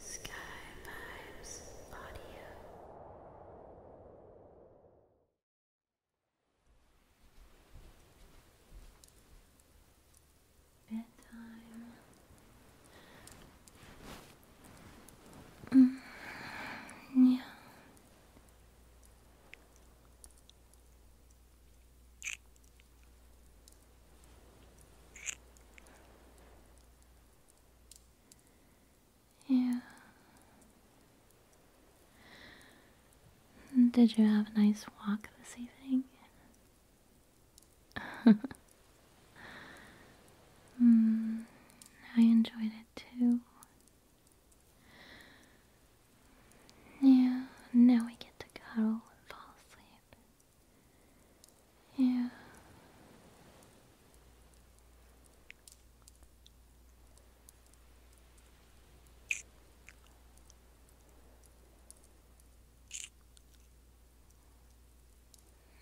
Sky Vibes Audio. Bedtime. Mm, yeah. Yeah. Did you have a nice walk this evening? mm, I enjoyed it too. Yeah, now we get to cuddle and fall asleep. Yeah.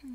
Hmm.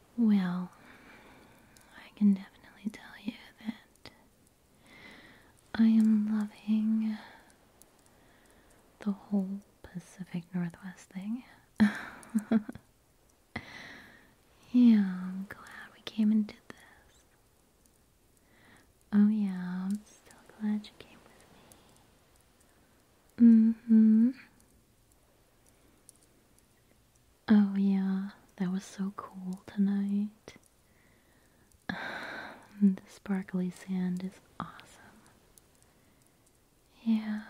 Well, I can definitely tell you that I am loving the whole Pacific Northwest thing. yeah, I'm glad we came and did this. Oh, yeah, I'm still glad you came with me. Mm hmm. Oh, yeah, that was so cool tonight. the sparkly sand is awesome. Yeah,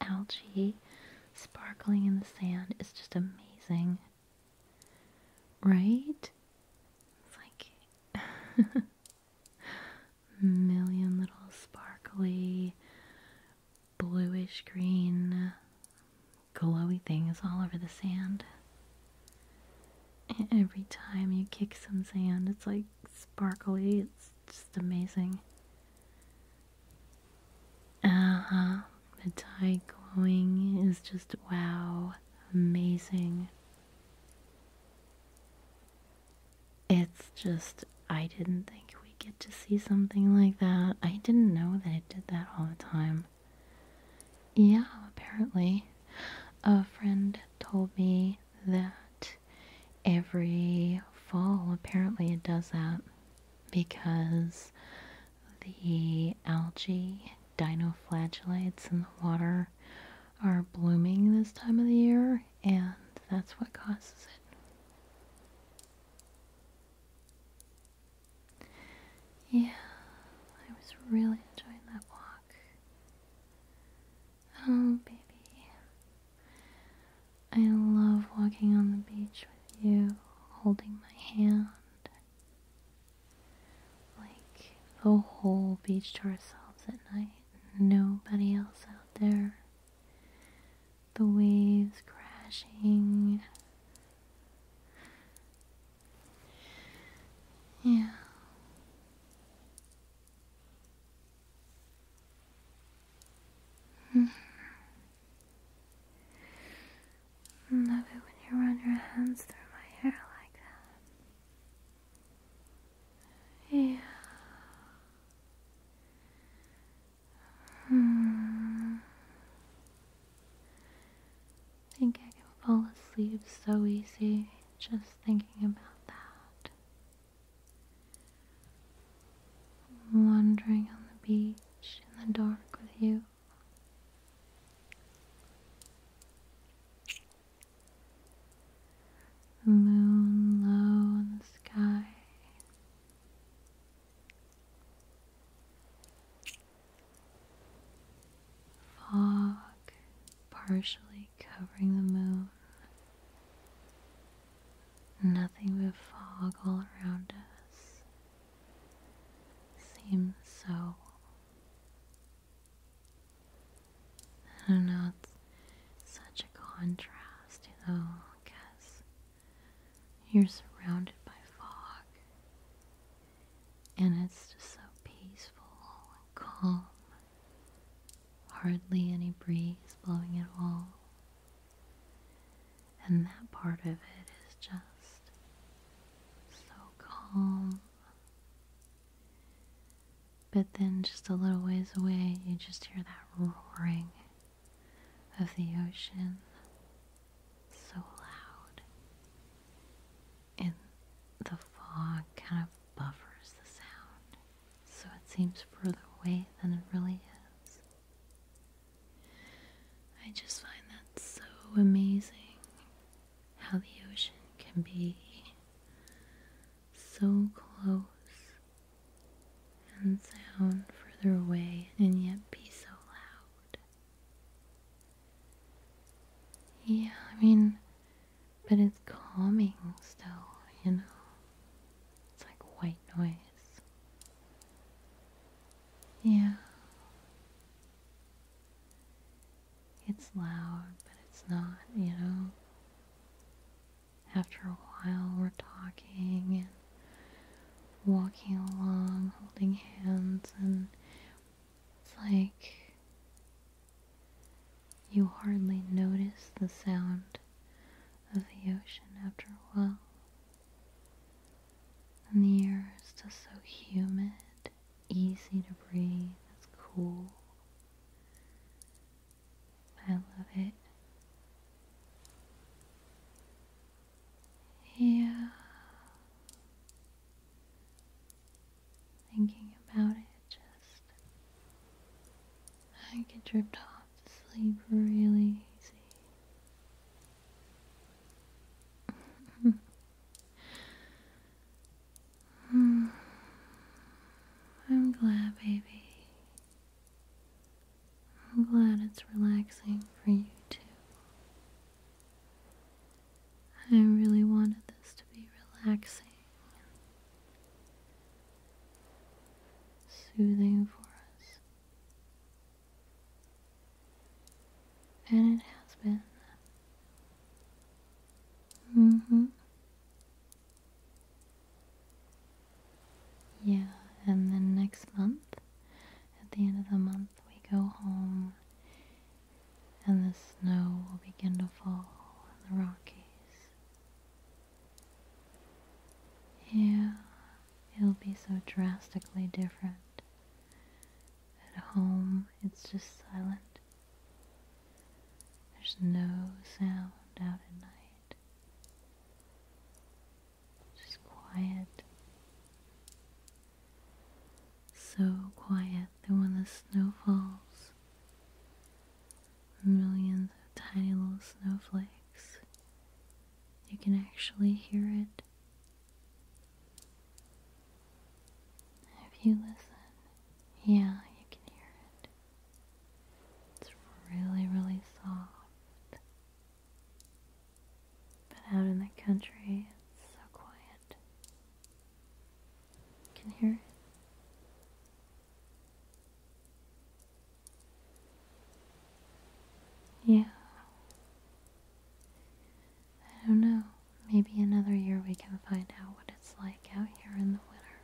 algae sparkling in the sand is just amazing. Right? It's like million little sparkly bluish green glowy things all over the sand. every time you kick some sand, it's like sparkly, it's just amazing. Uh huh. The tide glowing is just wow, amazing. It's just I didn't think we'd get to see something like that. I didn't know that it did that all the time. Yeah, apparently. A friend told me that every fall, apparently, it does that because the algae dinoflagellates in the water are blooming this time of the year, and that's what causes it. Yeah, I was really enjoying that walk. Oh, baby. I love walking on the beach with you, holding my hand. Like the whole beach to ourselves at night, nobody else out there the waves crashing. Yeah. Mm-hmm. Love it when you run your hands through my hair like that. Yeah. Hmm. I think I can fall asleep so easy just thinking about that. Wandering on the beach in the dark with you. The moon low in the sky, Fog partially covering the moon. Nothing but fog all around us. Seems so. I don't know, it's such a contrast, you know guess. You're surrounded by fog, and it's just so peaceful and calm. Hardly any breeze blowing at all. And that part of it is just so calm. But then, just a little ways away, you just hear that roaring of the ocean so loud, and the fog kind of buffers the sound, so it seems further away than it really is. I just find that so amazing how the ocean can be so close and sound further away and yet be so loud. Yeah, I mean, but it's calming still, you know? It's like white noise. Yeah. It's loud, but it's not, you know? after a while, we're talking and walking along, holding hands, and it's like you hardly notice the sound of the ocean after a while. And the air is just so humid, easy to breathe, it's cool. I love it. Yeah. Thinking about it just I get dripped off to sleep really easy. Hmm. I'm glad, baby, I'm glad it's relaxing for you too. I really wanted this to be relaxing soothing for us. And it has been. Mm hmm. Yeah, and then next month, at the end of the month, we go home and the snow will begin to fall in the Rockies. Yeah, it'll be so drastically different. At home, it's just silent there's no sound out at night. Just quiet. So quiet that when the snow falls, millions of tiny little snowflakes, you can actually hear it. If you listen, yeah, you can hear it. It's really, really soft. But out in the country, it's so quiet. You can hear it. Yeah. I don't know. Maybe another year we can find out what it's like out here in the winter.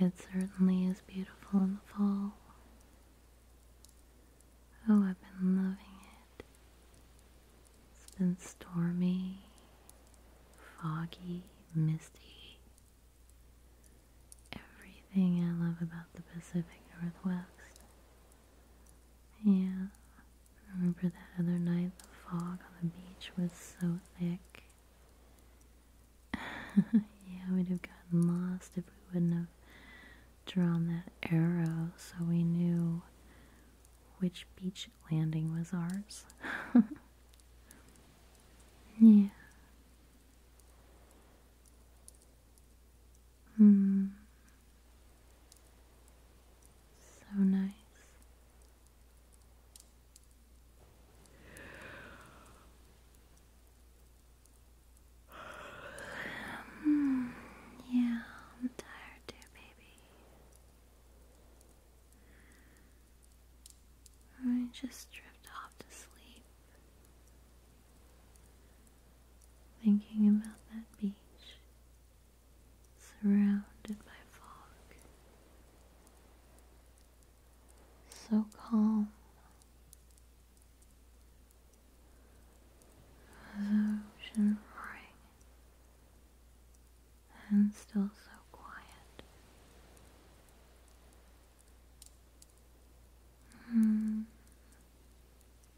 It certainly is beautiful in the fall. Oh, I've been loving it. It's been stormy, foggy, misty. Everything I love about the Pacific Northwest. Yeah, Remember that other night the fog on the beach was so thick? yeah, we'd have gotten lost if we wouldn't have drawn that arrow so we knew which beach landing was ours. yeah. Hmm. So nice. Hmm, yeah, I'm tired too, baby. I just drift off to sleep. Thinking about that beach surrounded by fog. So calm. The ocean roaring and still so quiet. Mm.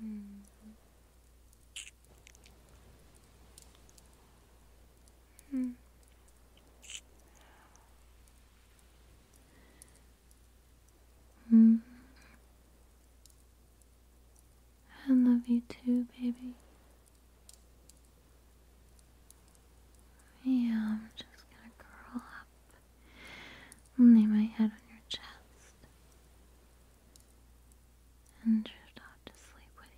Mm -hmm. Mm. I love you too, baby. Yeah, I'm just gonna curl up Lay my head on your chest and drift off to sleep with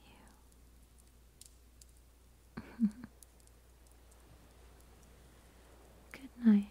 you. Good night, baby.